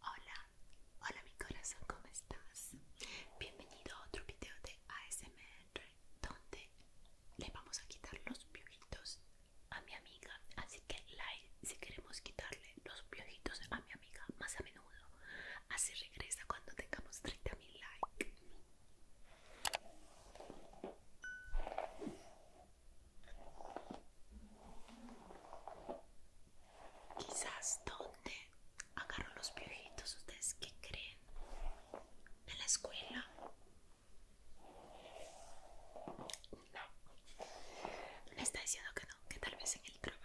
Hola, hola mi corazón, ¿cómo estás? Bienvenido a otro video de ASMR donde le vamos a quitar los piojitos a mi amiga. Así que like si queremos quitarle los piojitos a mi amiga más a menudo. Así regresa cuando tengamos 30.000 likes. Quizás donde agarro los piojitos ¿ustedes qué creen? ¿En la escuela? No. Me está diciendo que no, que tal vez en el trabajo.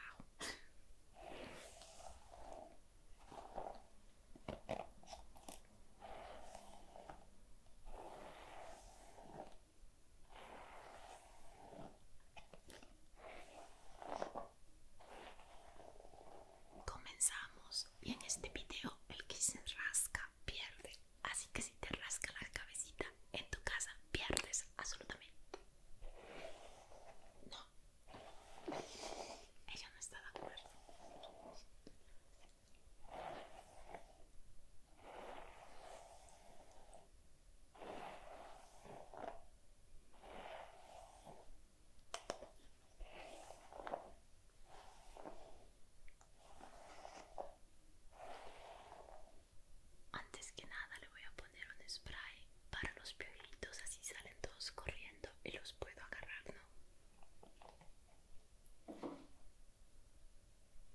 Comenzamos y en este video el que se rasca pierde. Así que si te rasca la cabecita en tu casa pierdes absolutamente. No. Ella no está de acuerdo. Antes que nada le voy a poner un spray para los piojitos, así salen todos corriendo y los puedo agarrar, ¿no?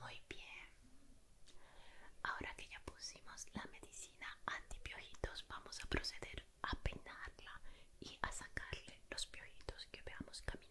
Muy bien. Ahora que ya pusimos la medicina antipiojitos, vamos a proceder a peinarla y a sacarle los piojitos que veamos caminando.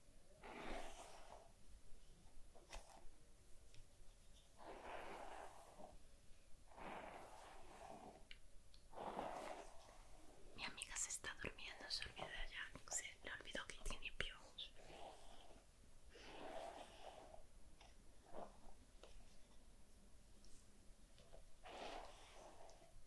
Mi amiga se está durmiendo, se olvida ya, se le olvidó que tiene piojos.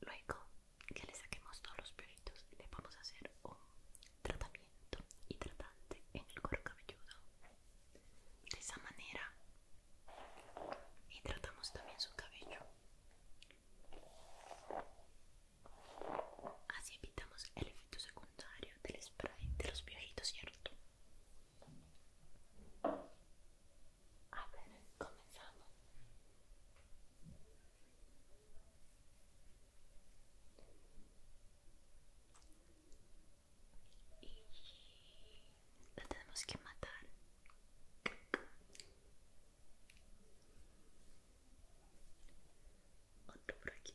Luego que le saquemos todos los y le vamos a hacer un tratamiento hidratante en el cuero cabelludo. De esa manera hidratamos también su cabello. Así evitamos el efecto secundario del spray de los piojitos, ¿cierto? A ver, comenzamos. Y tenemos que matar. Otro por aquí.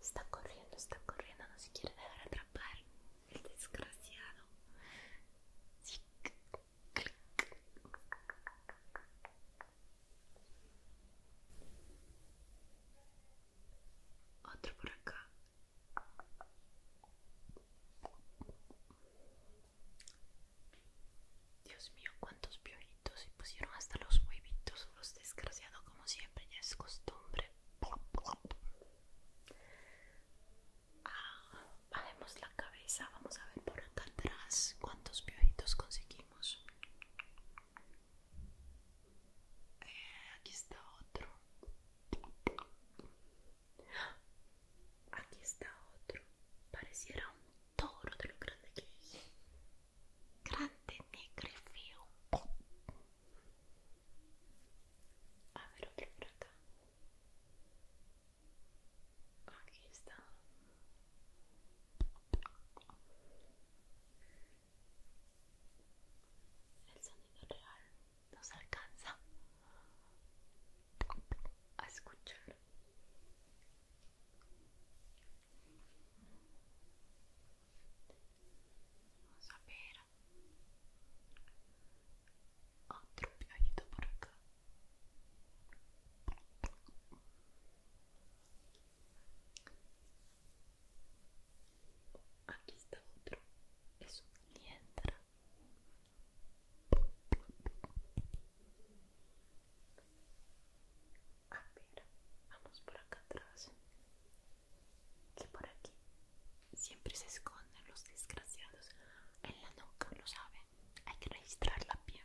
Está corriendo, está corriendo, no se quiere dejar atrapar. El desgraciado. Otro por acá. Dios mío, cuántos piojitos Y pusieron hasta los huevitos, los desgraciados como siempre, ya es costumbre. Ah, bajemos la cabeza, vamos a ver por acá atrás cuántos piojitos conseguimos. Eh, aquí está otro. Aquí está otro. Pareciera un toro de lo grande que es. Grande, negro y feo. A ver otro por acá. Aquí está. El sonido real nos alcanza a escuchar. Vamos a ver otro por acá. Aquí está otro, es un liendra. A ver, vamos por acá atrás. Que por aquí siempre se esconden los desgraciados en la nuca, lo saben. Hay que registrar la bien.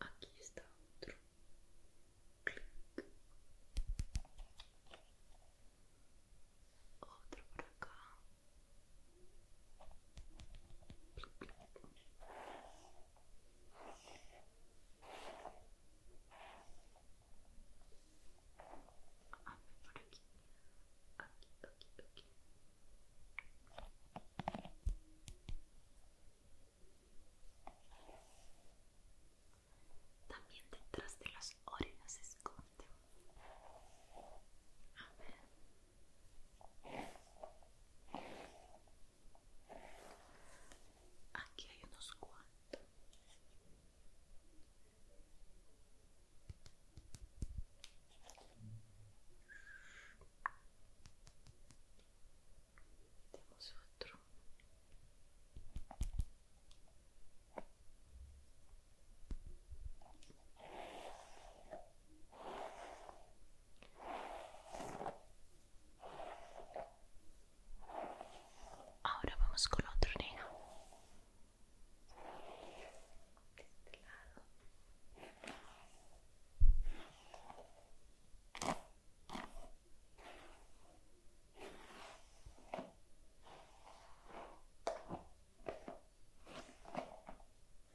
Aquí está otro. Clic. Otro por acá también detrás de las orejas esconde Aqui aí o nosso Temos outro. Ahora vamos con otro negro. De este lado.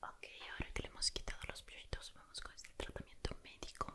Ok, ahora que le hemos quitado los piollitos, vamos con este tratamiento médico.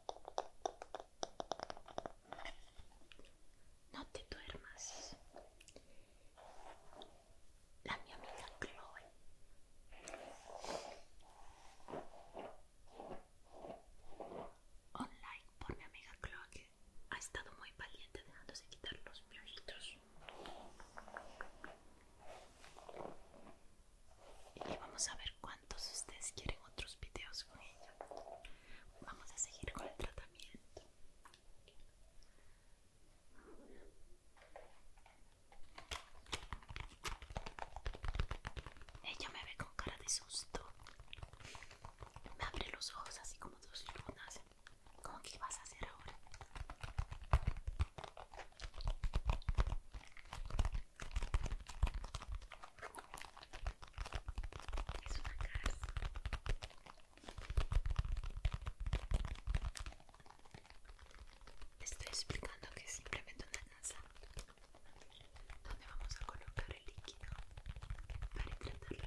No te duermas. La mi amiga Chloe. Online por mi amiga Chloe ha estado muy valiente dejándose quitar los piojitos y vamos a ver cuántos ustedes quieren otros videos con ella vamos a seguir con el tratamiento ella me ve con cara de susto me abre los ojos así como dos lunas como que vas a hacer ahora es una casa Te estoy explicando que es simplemente una casa donde vamos a colocar el líquido para en el cuero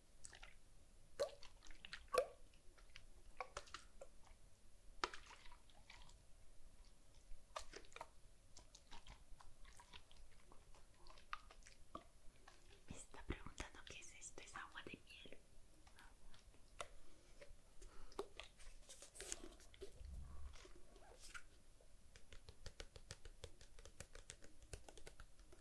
Me está preguntando qué es esto, es agua de miel.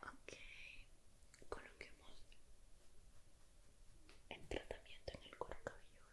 Ok, coloquemos el tratamiento en el cuero cabelludo.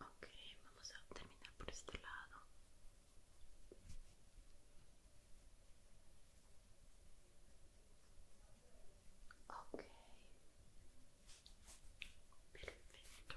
Ok, vamos a terminar por este lado. Ok, perfecto.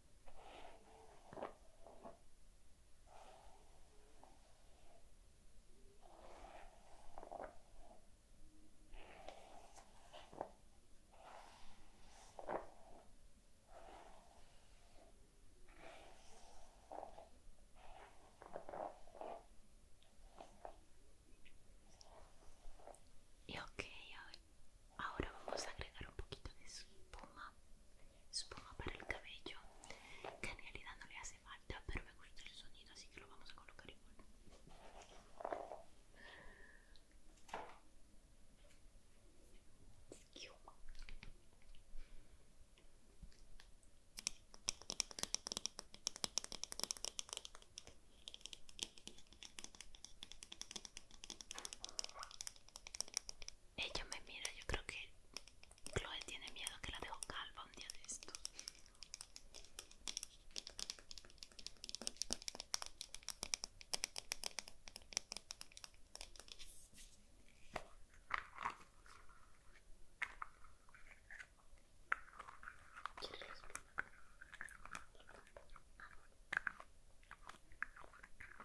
Y ok, ahora vamos a agregar un poquito de espuma supongo para el cabello que en realidad no le hace falta pero me gusta el sonido así que lo vamos a colocar igual ella me mira, yo creo que Chloe tiene miedo que la dejo calva un día de esto.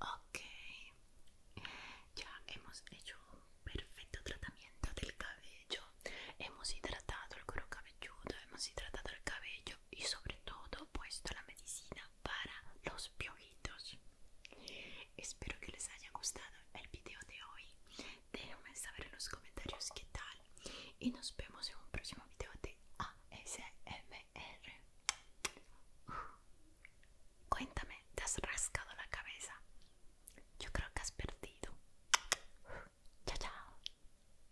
Ok, ya hemos hecho un perfecto tratamiento del cabello, hemos hidratado el cuero cabelludo, hemos hidratado el cabello y sobre todo puesto la medicina para los piojitos. Espero que les haya gustado el video de hoy. Déjenme saber en los comentarios qué tal. Y nos vemos en un próximo video de ASMR. cuéntame, ¿te has rascado la cabeza? Yo creo que has perdido. chao, chao.